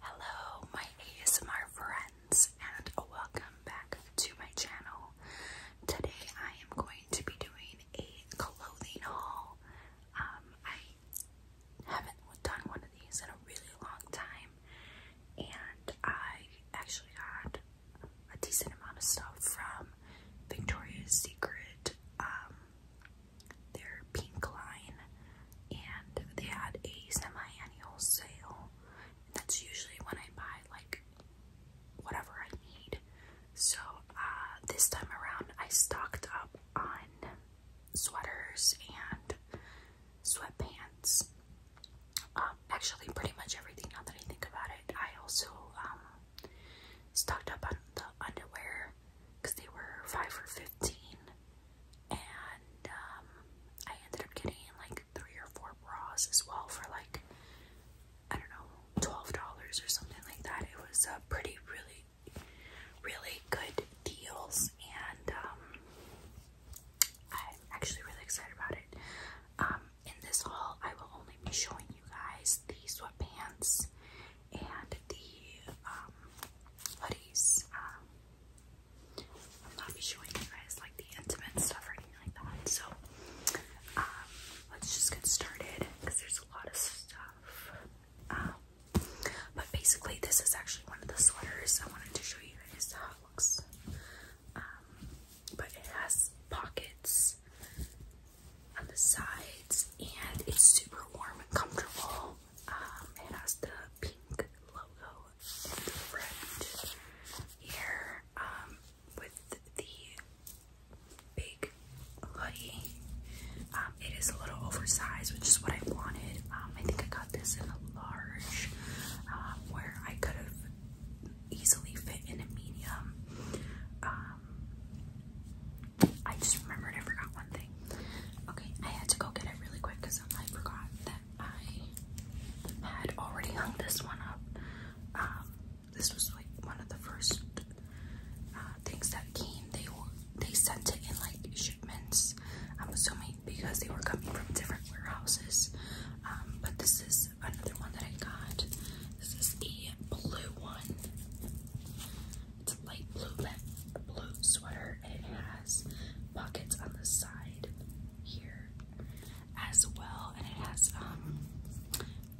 Hello, my ASMR friends, and welcome back to my channel. Today, I am going to be doing a clothing haul. Um, I haven't done one of these in a really long time, and I actually got a decent amount of stuff from Victoria's Secret, um, their pink line, and they had a semi-annual sale. that's usually when I buy like whatever I need. So uh, this time around, I stocked up on sweaters and sweatpants. Um, actually, pretty much everything. Now that I think about it, I also um, stocked up on the underwear because they were five or fifteen, and um, I ended up getting like three or four bras as well for like I don't know twelve dollars or something like that. It was a pretty really really good deals, and um, I'm actually really excited about it. Um, in this haul, I will only be showing you guys the sweatpants and the um, hoodies. Um, I'm not be showing you guys like the intimate stuff or anything like that. So um, let's just get started because there's a lot of stuff. but basically, this is actually one of the sweaters I wanted to show you guys how it looks but it has pockets on the sides and it's super warm and comfortable. Um, it has the pink logo in the front here um, with the big hoodie. Um, it is a little oversized, which is what I wanted. I think I got this in a large where I could have easily fit in a medium. Um, I just remembered I forgot one thing. Okay, I had to go get it really quick because I forgot that I had already hung this one up. Um, this was like one of the first uh, things that came. They they sent it in like shipments. I'm assuming because they were coming from different warehouses. Um, but this is another one that I got. This is the blue one. It's a light blue blue sweater, and it has pockets on the side here as well, and it has um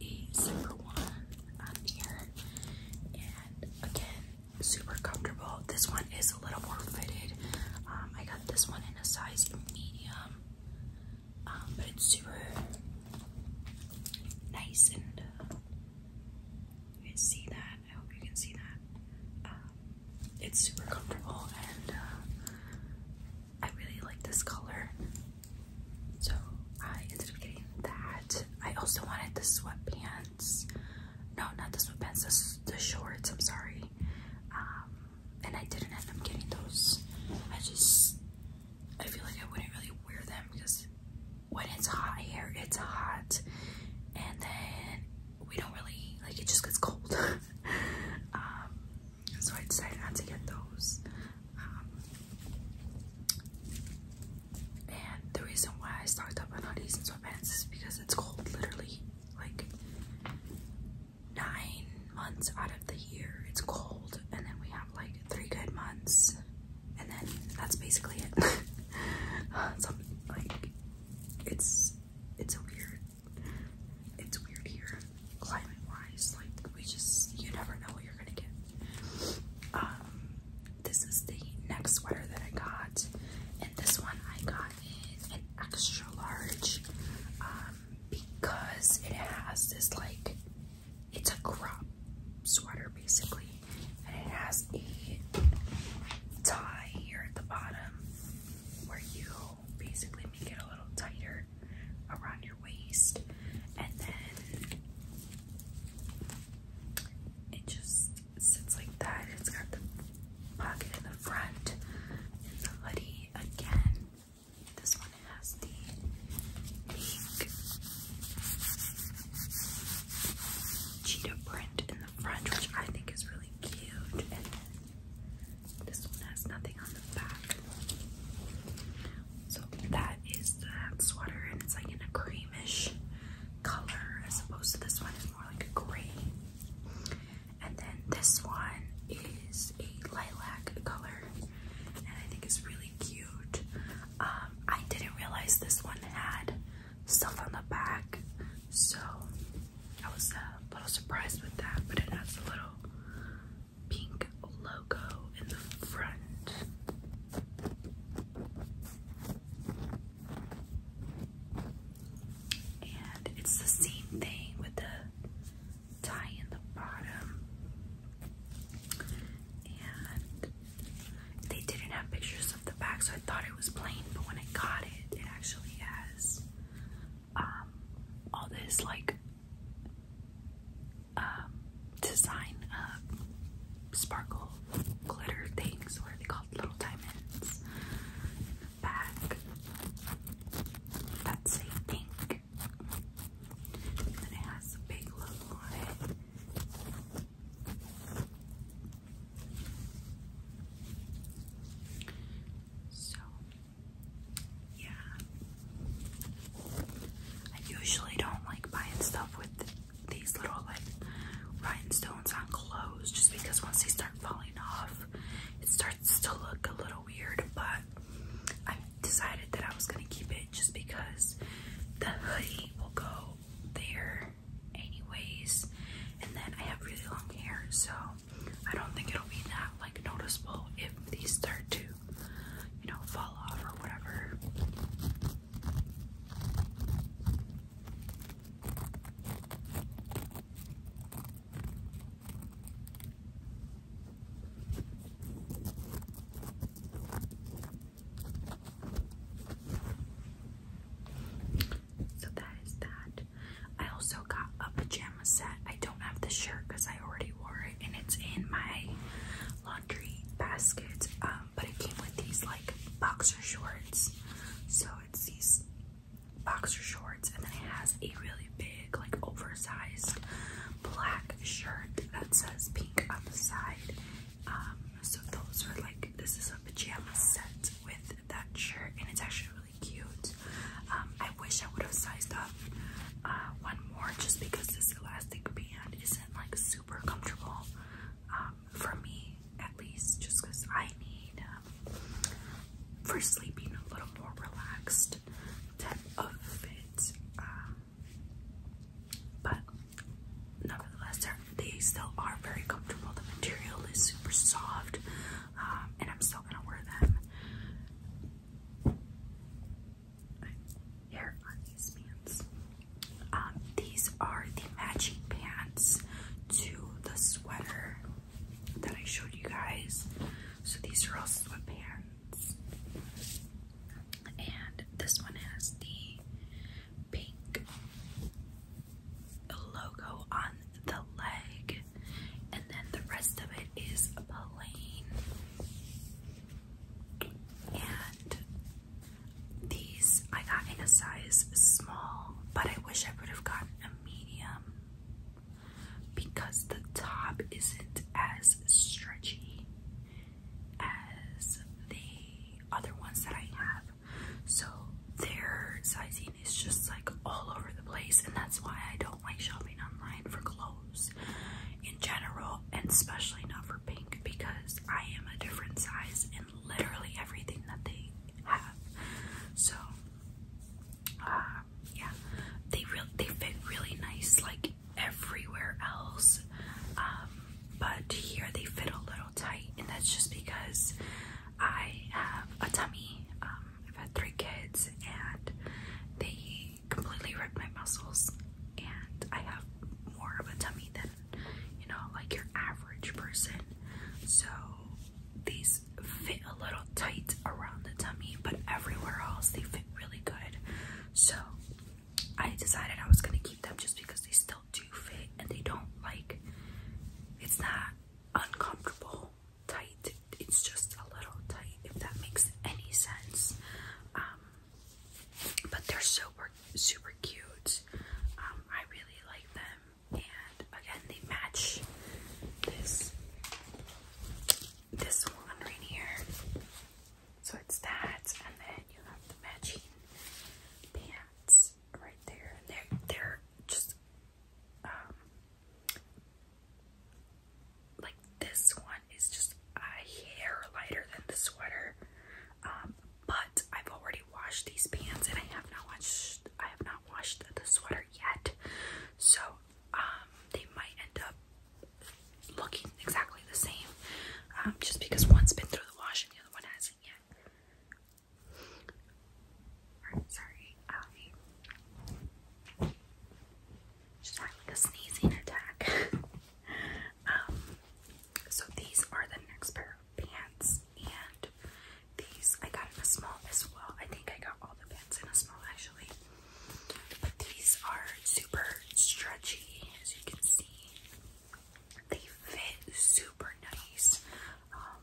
a zipper one on here. And again, super comfortable. This one is a little more fitted. Um, I got this one in a size medium. Um, but it's super nice and uh, you can see that. I hope you can see that. Um, it's super comfortable and uh, I really like this color. So I ended up getting that. I also wanted the sweatpants. No, not the sweatpants. The, the shorts. I'm sorry. Um, and I didn't end up getting those. I just, I feel like I wouldn't really wear them because when it's hot here, it's hot, and then we don't really, like, it just gets cold. um, so I decided not to get those. Um, and the reason why I stocked up on hoodies and sweatpants is because it's cold, literally. Like, nine months out of the year it's cold and then we have like three good months and then that's basically it uh, so like it's it's a weird it's weird here climate wise like we just you never know what you're gonna get um this is the next sweater that I got and this one I got is an extra large uh, because it has this like it's a crop sweater basically and it has a tie here at the bottom where you basically make it a little tighter around your waist and then it just sits like that. It's got the pocket in the front and the hoodie again this one has the cheetah print in the front, which I think is really cute. And this one has nothing on the back. So that is that sweater, and it's like in a creamish color as opposed to this one is more like a gray. And then this one is a lilac color, and I think it's really cute. Um, I didn't realize this one had stuff on the back, so I was uh, a little surprised with that. But it has a little pink logo in the front. And it's the same thing with the tie in the bottom. And they didn't have pictures of the back, so I thought it was plain, but when I got it, it actually has um, all this like um, design of um, sparkle glitter things, what are they called? Little diamonds that's a pink. And it has a big logo on it. So, yeah. I usually don't like buying stuff with these little like rhinestones on clothes just because once they start falling off, it starts to look a little weird, but I decided that I was gonna keep it just because the hoodie will go there anyways. And then I have really long hair, so I don't think it'll be that like noticeable if these start to, you know, fall off or whatever. So that is that. I also got a pajama set. I don't have the shirt because I already wore it and it's in my laundry basket. Um, but it came with these like boxer shorts. So it's these boxer shorts, and then it has a really big, like oversized black shirt that says pink on the side. Um, so those are like this is a pajama set with that shirt, and it's actually really cute. Um, I wish I would have sized up uh, one more just because this elastic band isn't like super comfortable. Um, for me at least, just because I need um, for sleeping a little more relaxed type of fit. Um, but nevertheless, they still are very comfortable. The material is super soft, um, and I'm still gonna wear them. Here are these pants. Um, these are the matching pants to the sweater that I showed you guys. So these are all sweatpants. And this one has the pink logo on the leg, and then the rest of it is plain. And the I got in a size small, but I wish I would have got a medium because the top isn't as stretchy as the other ones that I have. So their sizing is just like all over the place, and that's why I don't like shopping online for clothes in general, and especially not for pink because I am a different size, and literally everything that they have. So, uh, yeah, they really they fit really nice like everywhere else, um, but here they fit a little tight, and that's just because I have a tummy. Um, I've had three kids, and they completely ripped my muscles, and I have more of a tummy than you know, like your average person. So these fit a little tight around the tummy, but everywhere else they fit really good. So I decided I was gonna keep them just because they still do fit and they don't like it's not uncomfortable tight, it's just a little tight if that makes any sense. Um, but they're super super cute. Um, I really like them and again they match this this one right here. So it's that, and then you have the matching pants right there. And they're they're just um like this one is just a hair lighter than the sweater. Um, but I've already washed these pants and I have not washed I have not washed the sweater yet. So um they might end up looking exactly the same. Um, just because one's been through the wash and the other one hasn't yet. sorry, um, just having like a sneezing attack. Um, so these are the next pair of pants, and these I got in a small as well. I think I got all the pants in a small actually. But these are super stretchy, as you can see. They fit super nice. Um,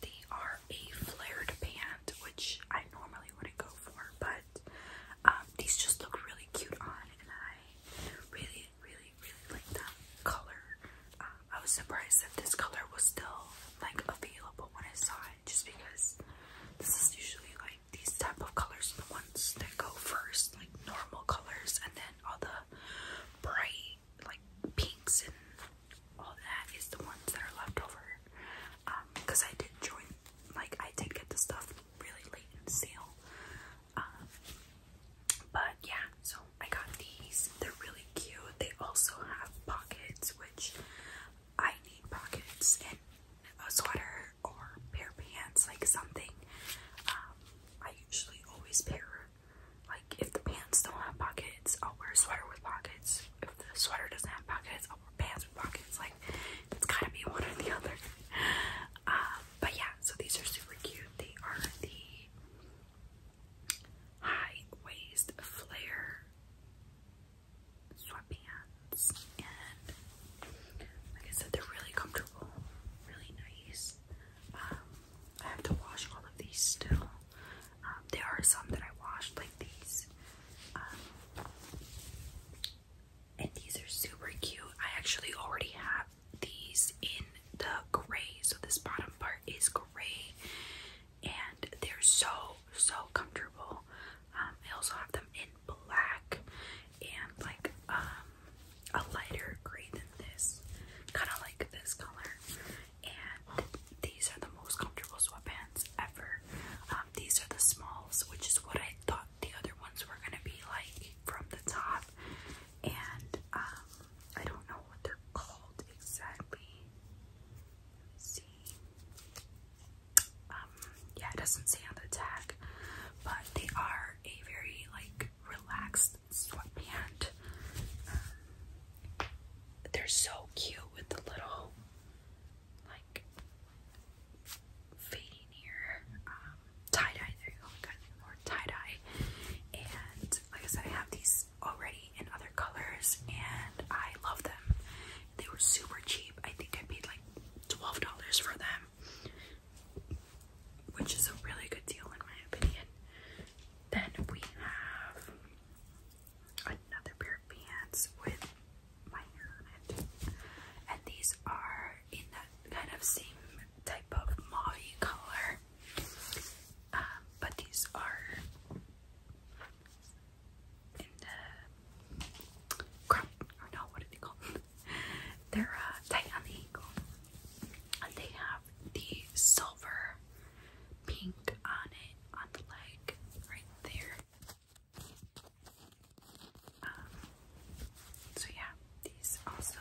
they are a flared pant, which I normally wouldn't go for, but um, these just look really cute on, and I really really, really, like that color. Uh, I was surprised that this color was still like available when I saw it, just because this is usually like these type of colors are the ones that go first, like normal colors, and then all the bright like pinks and all that is the ones that are left over. because um, I did join, like I did get the stuff really late in the sale. Um, but yeah, so I got these. They're really cute. They also have pockets, which I need pockets in a sweater or pair pants, like something. Um, I usually always pair, like if the pants don't have pockets, I'll wear a sweater with pockets. If the sweater doesn't have pockets, I'll wear pants with pockets. Like it's gotta be one or the other. Um, but yeah, so these are super cute. They are the high waist flare sweatpants, and like I said, they're really comfortable, really nice. Um, I have to wash all of these still. Um, there are some that I washed, like these. Um, and these are super cute. I actually already have these in the gray. So this bottom part is gray. And they're so, so comfortable. Um, I also have them in black and like um, a lighter gray than this. Kind of like this color. And these are the most comfortable sweatpants ever. Um, these are the smalls, which is what I thought the other ones were gonna be like from the top, and um, I don't know what they're called exactly. see. Um, yeah, it doesn't say on the tag, but they are a very like relaxed sweatband. Um, they're so cute with the little like fading here, um, tie dye. There you go, I got more tie dye. And like I said, I have these already in other colors, and I love them. They were super cheap. I think I paid like twelve dollars for them, which is a really good deal in my opinion. Then we have another pair of pants with and these are in that kind of same type of mauve color. Um, but these are in the crop, or no, what are they called? They're uh, tight on the ankle. And they have the silver pink on it on the leg right there. Um, so yeah, these also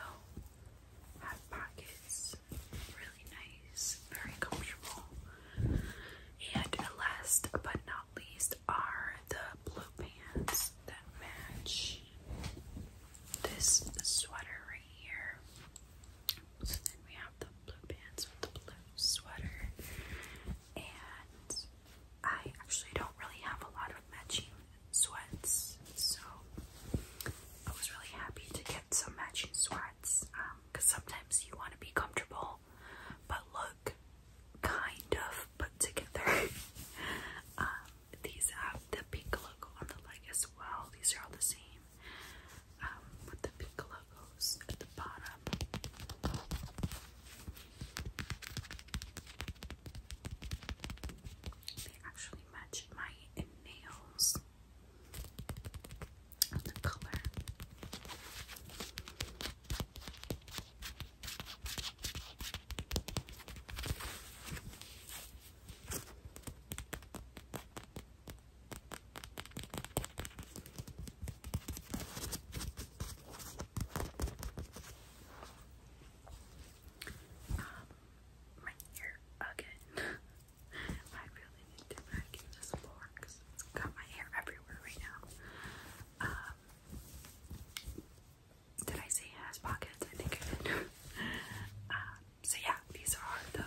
have pockets. Really nice, very comfortable. And last but not least are the blue pants that match this sweater right here. So then we have the blue pants with the blue sweater and I actually don't really have a lot of matching sweats, so I was really happy to get some matching sweats because um, sometimes you want to be comfortable but look kind of put together. um, these have the pink logo on the leg as well, these are all the same um, with the pink logos at the bottom. They actually match my nails and the color. Um, my ear again. I really need to vacuum this floor because it's got my hair everywhere right now. Um, did I say ass pockets? I think I did. um, so yeah, these are the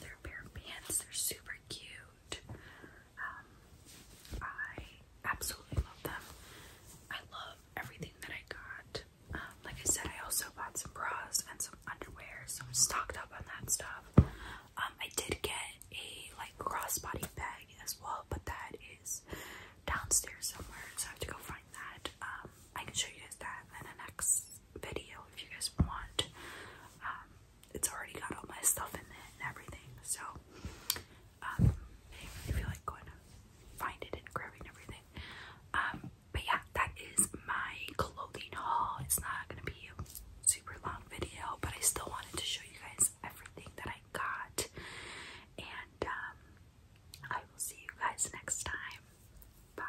other pair of pants. They're super cute. Um, I absolutely love them. I love everything that I got. Um, like I said, I also bought some bras and some underwear, so I'm stocked up on that stuff. Um, I did get a like crossbody bag as well, but that is downstairs somewhere, so I have to go find that. I can show you guys that in the next video if you guys want it's already got all my stuff in it and everything. So, um, I didn't really feel like going to find it and grabbing everything. Um, but yeah, that is my clothing haul. It's not gonna be a super long video, but I still wanted to show you guys everything that I got. And um, I will see you guys next time. Bye.